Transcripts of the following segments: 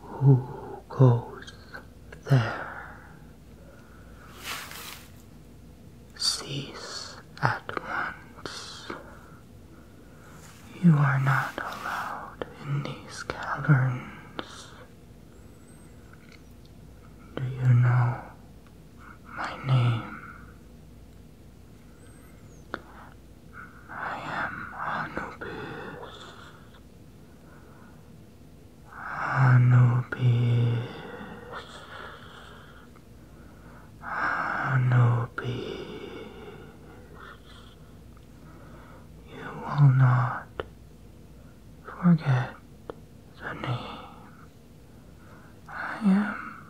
Who goes there? Cease at once. You are not allowed in these caverns. Do you know my name? I am Anubis. Anubis. Anubis. You will not forget the name. I am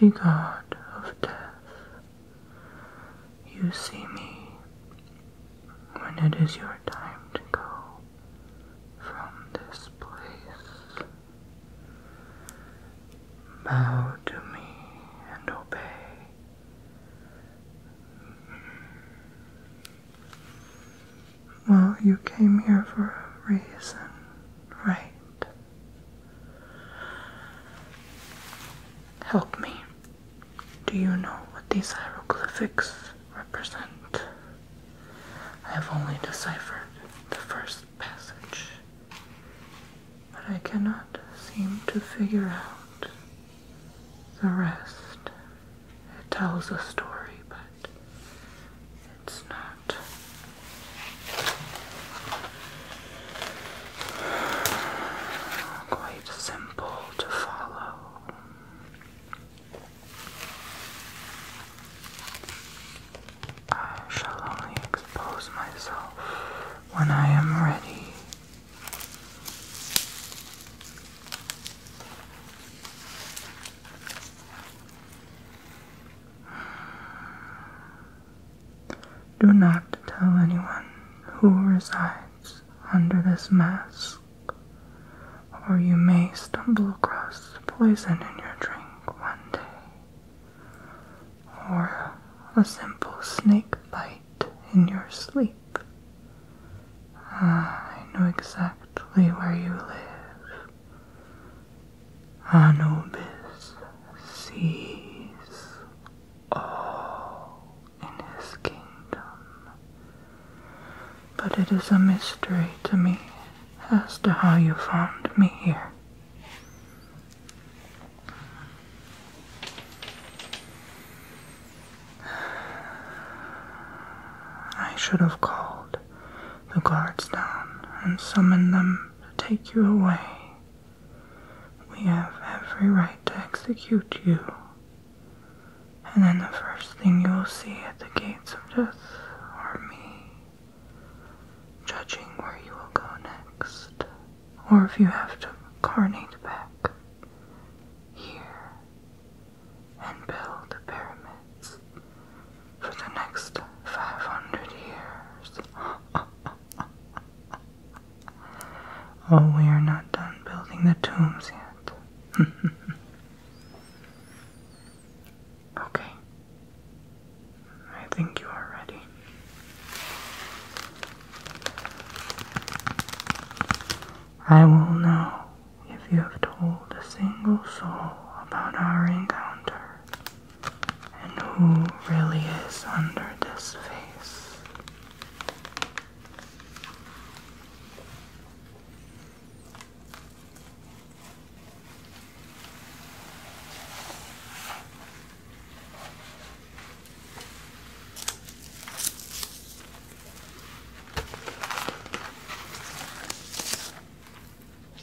the god of death. You see me when it is your time to go from this place. Bow to me and obey. Well, you came here for a reason, right? Help me. Do you know what these hieroglyphics represent? I have only deciphered the first passage, but I cannot seem to figure out the rest. It tells a story, but it's not. Quite simple to follow. I shall only expose myself when I am ready do not tell anyone who resides under this mask, or you may stumble across poison in your drink one day, or a simple snake bite in your sleep. Ah, I know exactly where you live. Anubis sees all in his kingdom. But it is a mystery to me as to how you found me here. I should have called the guards down and summoned them to take you away. We have every right to execute you. And then the first thing you will see at the gates of death are me, judging where you will go next, or if you have to carnate back here and build the pyramids for the next 500 years. oh, we are not done building the tombs yet. okay. I think you are ready. I will know if you have told a single soul about our encounter and who really is under this face.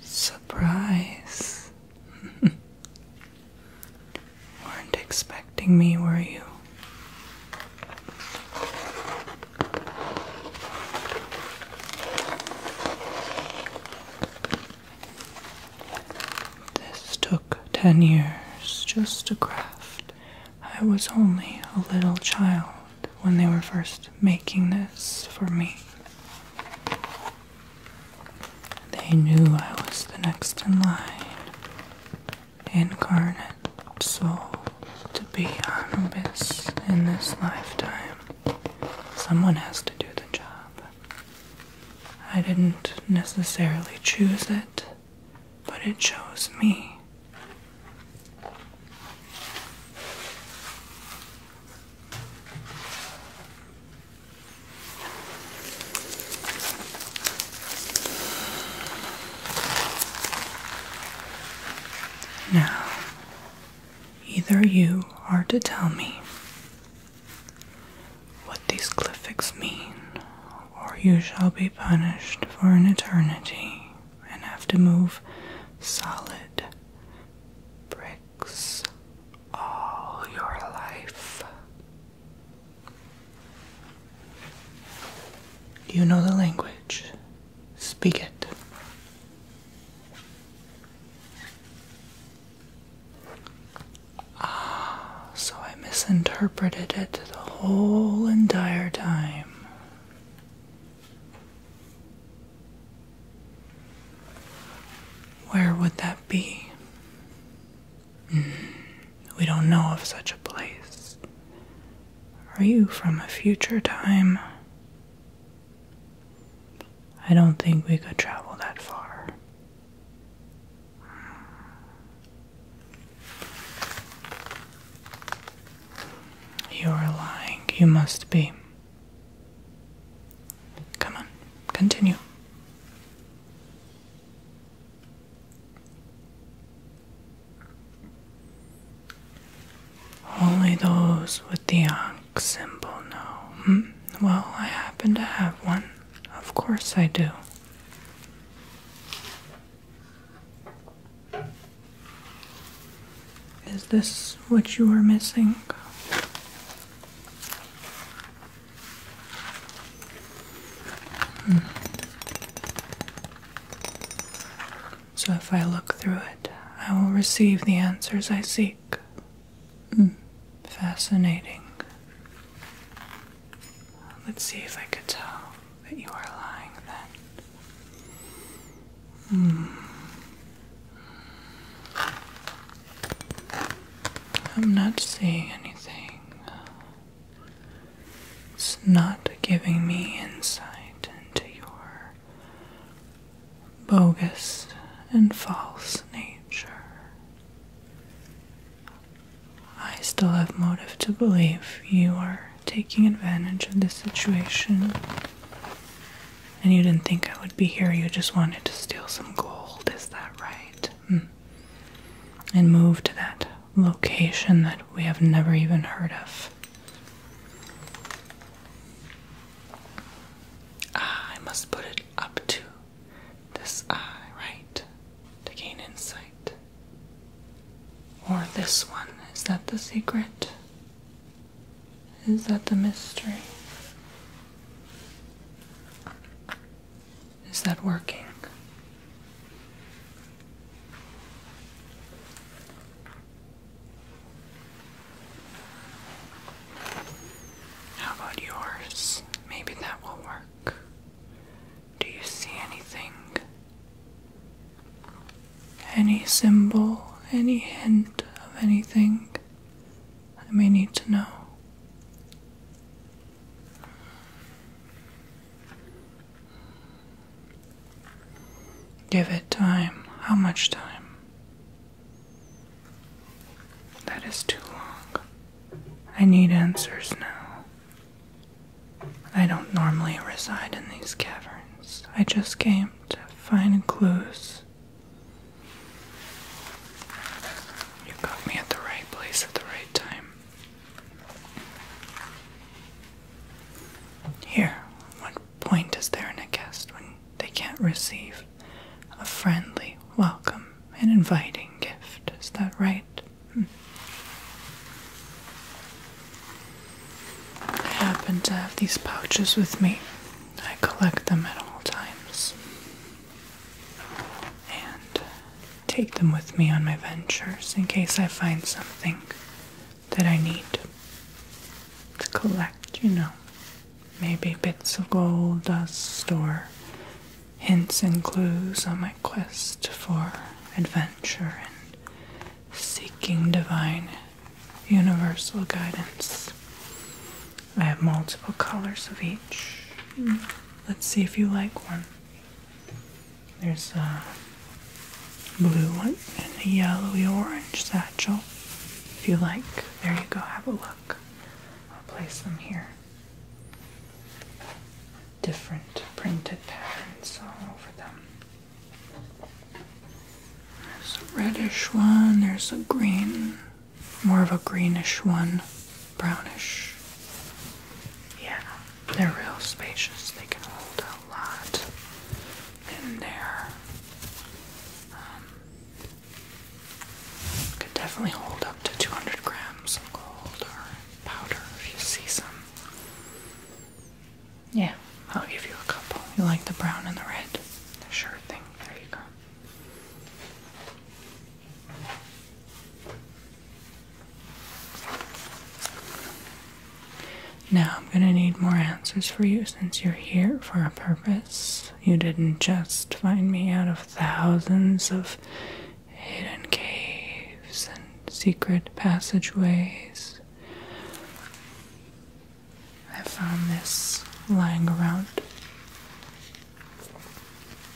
Surprise. Weren't expecting me, were you? This door ten years just to craft. I was only a little child when they were first making this for me. They knew I was the next in line, incarnate soul to be Anubis in this lifetime. Someone has to do the job. I didn't necessarily choose it but it chose me. Now, either you are to tell me what these glyphics mean, or you shall be punished for an eternity and have to move solid bricks all your life. You know the language, speak it. Ah, so I misinterpreted it the whole entire time. Where would that be? Hmm, we don't know of such a place. Are you from a future time? I don't think we could travel that far. You're lying. You must be. Come on, continue. Only those with the onk symbol know. Hmm? Well, I happen to have one. Of course I do. Is this what you are missing? Hmm. So, if I look through it, I will receive the answers I seek. Hmm. Fascinating. Let's see if I could tell that you are lying then. Hmm. I'm not seeing anything. It's not giving me insight into your bogus and false nature. I still have motive to believe you are taking advantage of this situation. And you didn't think I would be here, you just wanted to steal some gold, is that right? Hmm. And move to that location that we have never even heard of. Ah, I must put it up to this eye right to gain insight? Or this one? Is that the secret? Is that the mystery? Is that working? How about yours? Maybe that will work. Do you see anything? Any symbol, any hint of anything I may need to know? Give it time. How much time? That is too long. I need answers now. I don't normally reside in these caverns. I just came to find clues. You got me at the right place at the right time. Here, what point is there in a cast when they can't receive a friendly welcome and inviting gift. Is that right? Hmm. I happen to have these pouches with me. I collect them at all times and take them with me on my ventures in case I find something that I need to collect, you know maybe bits of gold dust or hints and clues on my quest for adventure and seeking divine universal guidance. I have multiple colors of each. Hmm. Let's see if you like one. There's a blue one and a yellowy orange satchel. If you like, there you go, have a look. I'll place them here. Different printed patterns all over them. There's a reddish one, there's a green, more of a greenish one, brownish. Yeah, they're real spacious. They can hold a lot in there. Um, could definitely hold up to 200 grams of gold or powder if you see some. Yeah, I'll give you a couple. You like the brown and the red? Sure thing. There you go. Now I'm going to need more answers for you since you're here for a purpose. You didn't just find me out of thousands of hidden caves and secret passageways. I found this lying around,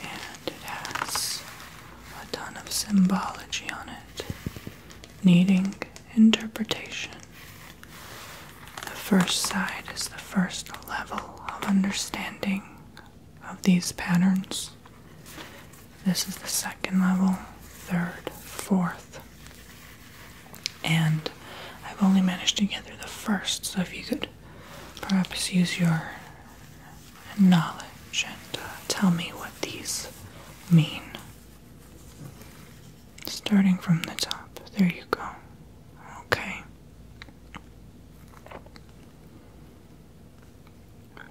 and it has a ton of symbology on it, needing interpretation. The first side is the first level of understanding of these patterns. This is the second level, third, fourth. And I've only managed to get through the first, so if you could perhaps use your knowledge and uh, tell me what these mean starting from the top. There you go. Okay.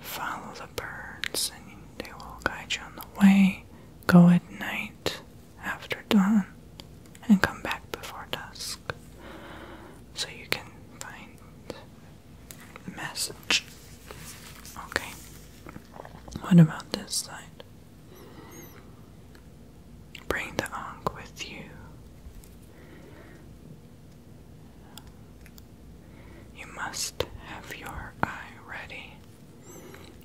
Follow the birds, and they will guide you on the way. Go at night after dawn and come back before dusk so you can find the message. Okay. What about this side? Bring the Ankh with you. You must have your eye ready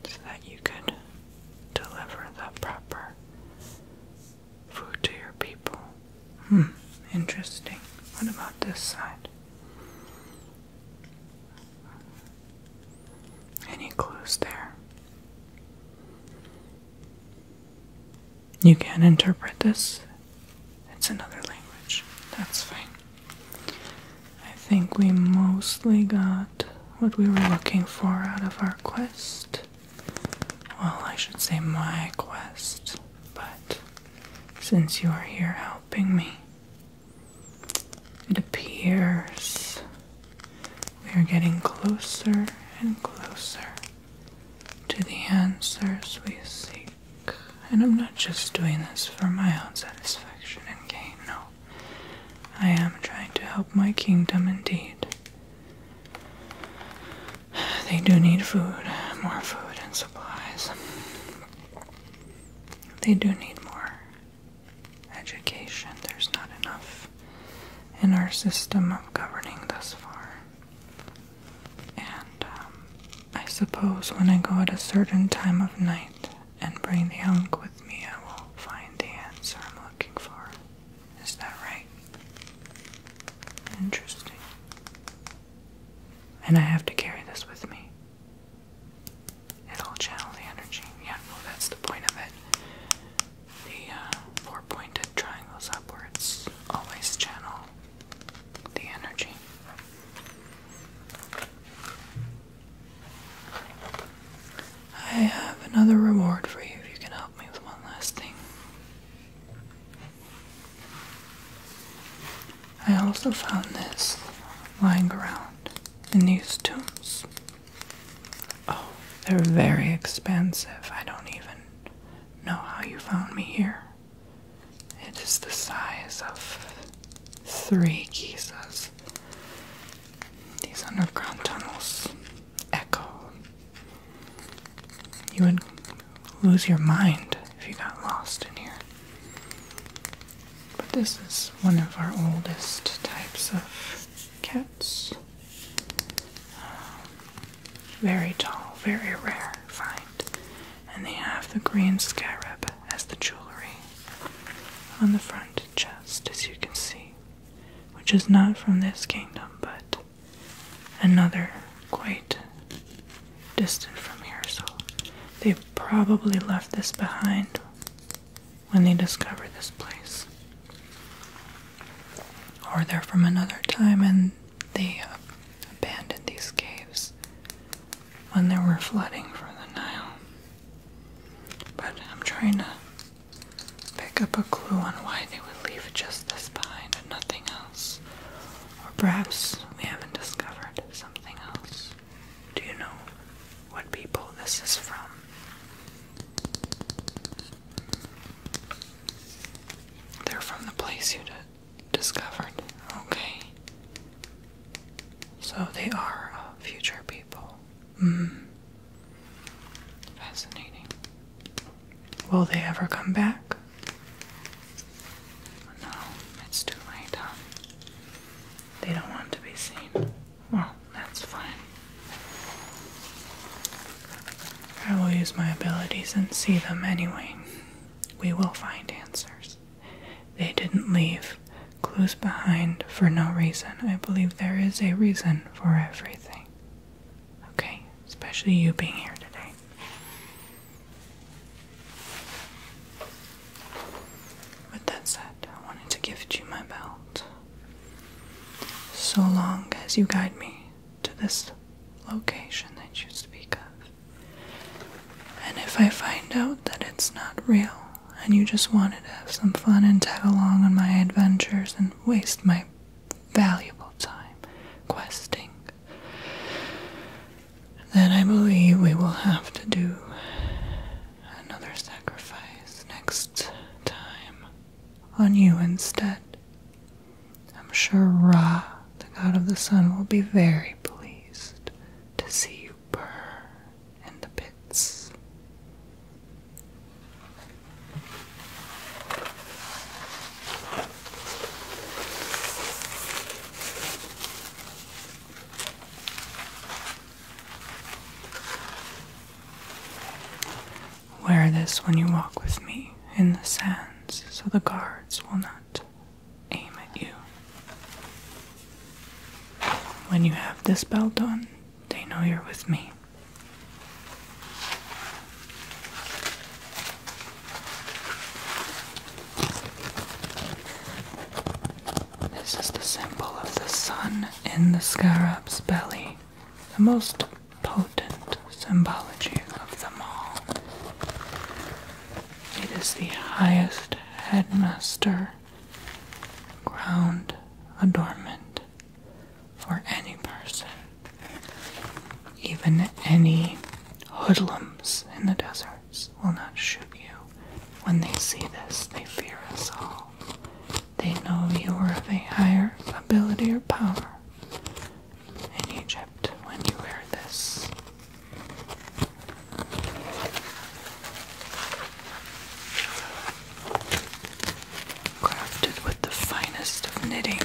so that you could deliver the proper food to your people. Hmm, interesting. What about this side? Any clues there? You can interpret this. It's another language. That's fine. I think we mostly got what we were looking for out of our quest. Well, I should say my quest, but since you are here helping me, it appears we are getting closer and closer to the answers we seek. And I'm not just doing this for my own satisfaction and gain, no. I am trying to help my kingdom indeed. They do need food, more food and supplies. They do need more education. There's not enough in our system of governing thus far. And um, I suppose when I go at a certain time of night and bring the hunk with me, I will find the answer I'm looking for. Is that right? Interesting. And I have to carry this with me. It'll channel the energy. Yeah, well, that's the point of it. The uh, four pointed triangles upwards always channel the energy. I have another reward for you if you can help me with one last thing. I also found this lying around in these tombs. Oh, they're very expensive. I don't even know how you found me here. It is the size of three Gizas. These underground tunnels echo. You would lose your mind if you got lost in here. But this is one of our oldest types of cats. Um, very tall, very rare find. And they have the green scarab as the jewelry on the front chest, as you can see, which is not from this kingdom, but another quite distant from here. So they probably left this behind when they discover this place. Or they're from another time and they abandoned these caves when there were flooding from the Nile. But I'm trying to pick up a clue on why they would leave just this behind and nothing else. Or perhaps we haven't discovered something else. Do you know what people this is from? They're from the place you discovered, okay? So they are uh, future people. Mm. Fascinating. Will they ever come back? No, it's too late, they don't want to be seen. Well, that's fine. I will use my abilities and see them anyway. We will find answers. They didn't leave clues behind for no reason. I believe there is a reason for everything. Okay, especially you being here today. With that said, I wanted to gift you my belt. So long as you guide me to this location that you speak of. And if I find out that it's not real and you just wanted to have some fun and tag along on my adventures and waste my valuable time questing, then I believe we will have to do another sacrifice next time on you instead. I'm sure Ra, the god of the sun, will be very pleased to see you burn in the pits. Wear this when you walk with me in the sands so the guards will not aim at you. When you have this belt on, they know you're with me. This is the symbol of the sun in the scarab's belly, the most potent symbology of them all. It is the highest headmaster ground adornment for any person, even any hoodlums in the deserts will not shoot you. When they see this, they fear us all. They know you are of a higher ability or power. In Egypt, when you wear this, crafted with the finest of knitting,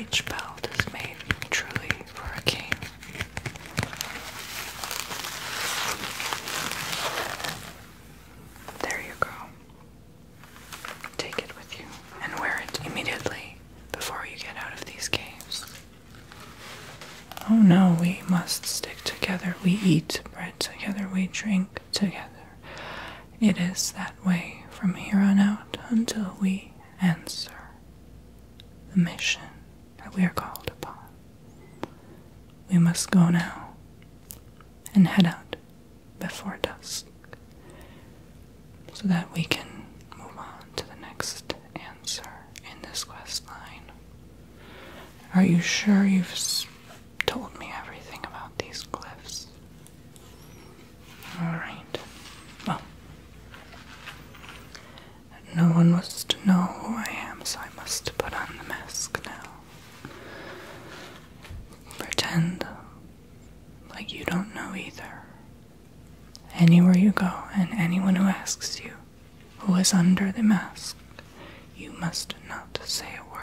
each belt is made truly for a king. There you go. Take it with you and wear it immediately before you get out of these caves. Oh no, we must stick together. We eat bread together, we drink together. It is that way from here on out until we answer the mission that we are called upon. We must go now and head out before dusk so that we can move on to the next answer in this quest line. Are you sure you've told me everything about these glyphs? All right. Well, no one wants to know who I am, so I must put on the mask now. Pretend like you don't know either. Anywhere you go, and anyone who asks you who is under the mask, you must not say a word.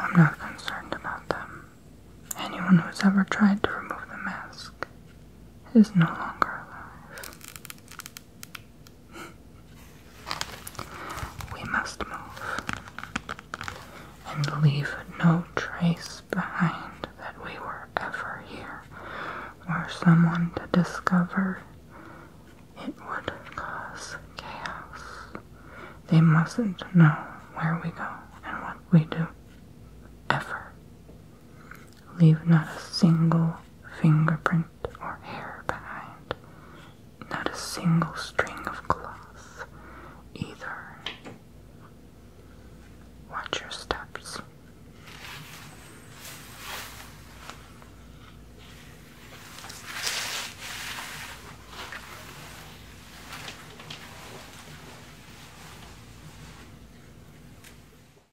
I'm not concerned about them. Anyone who's ever tried to remove the mask is no longer alive. We must move and leave no trace behind that we were ever here or someone to discover. It would cause chaos. They mustn't know where we go and what we do. Ever. Leave not a single fingerprint or hair behind, not a single string of cloth either. Watch your steps.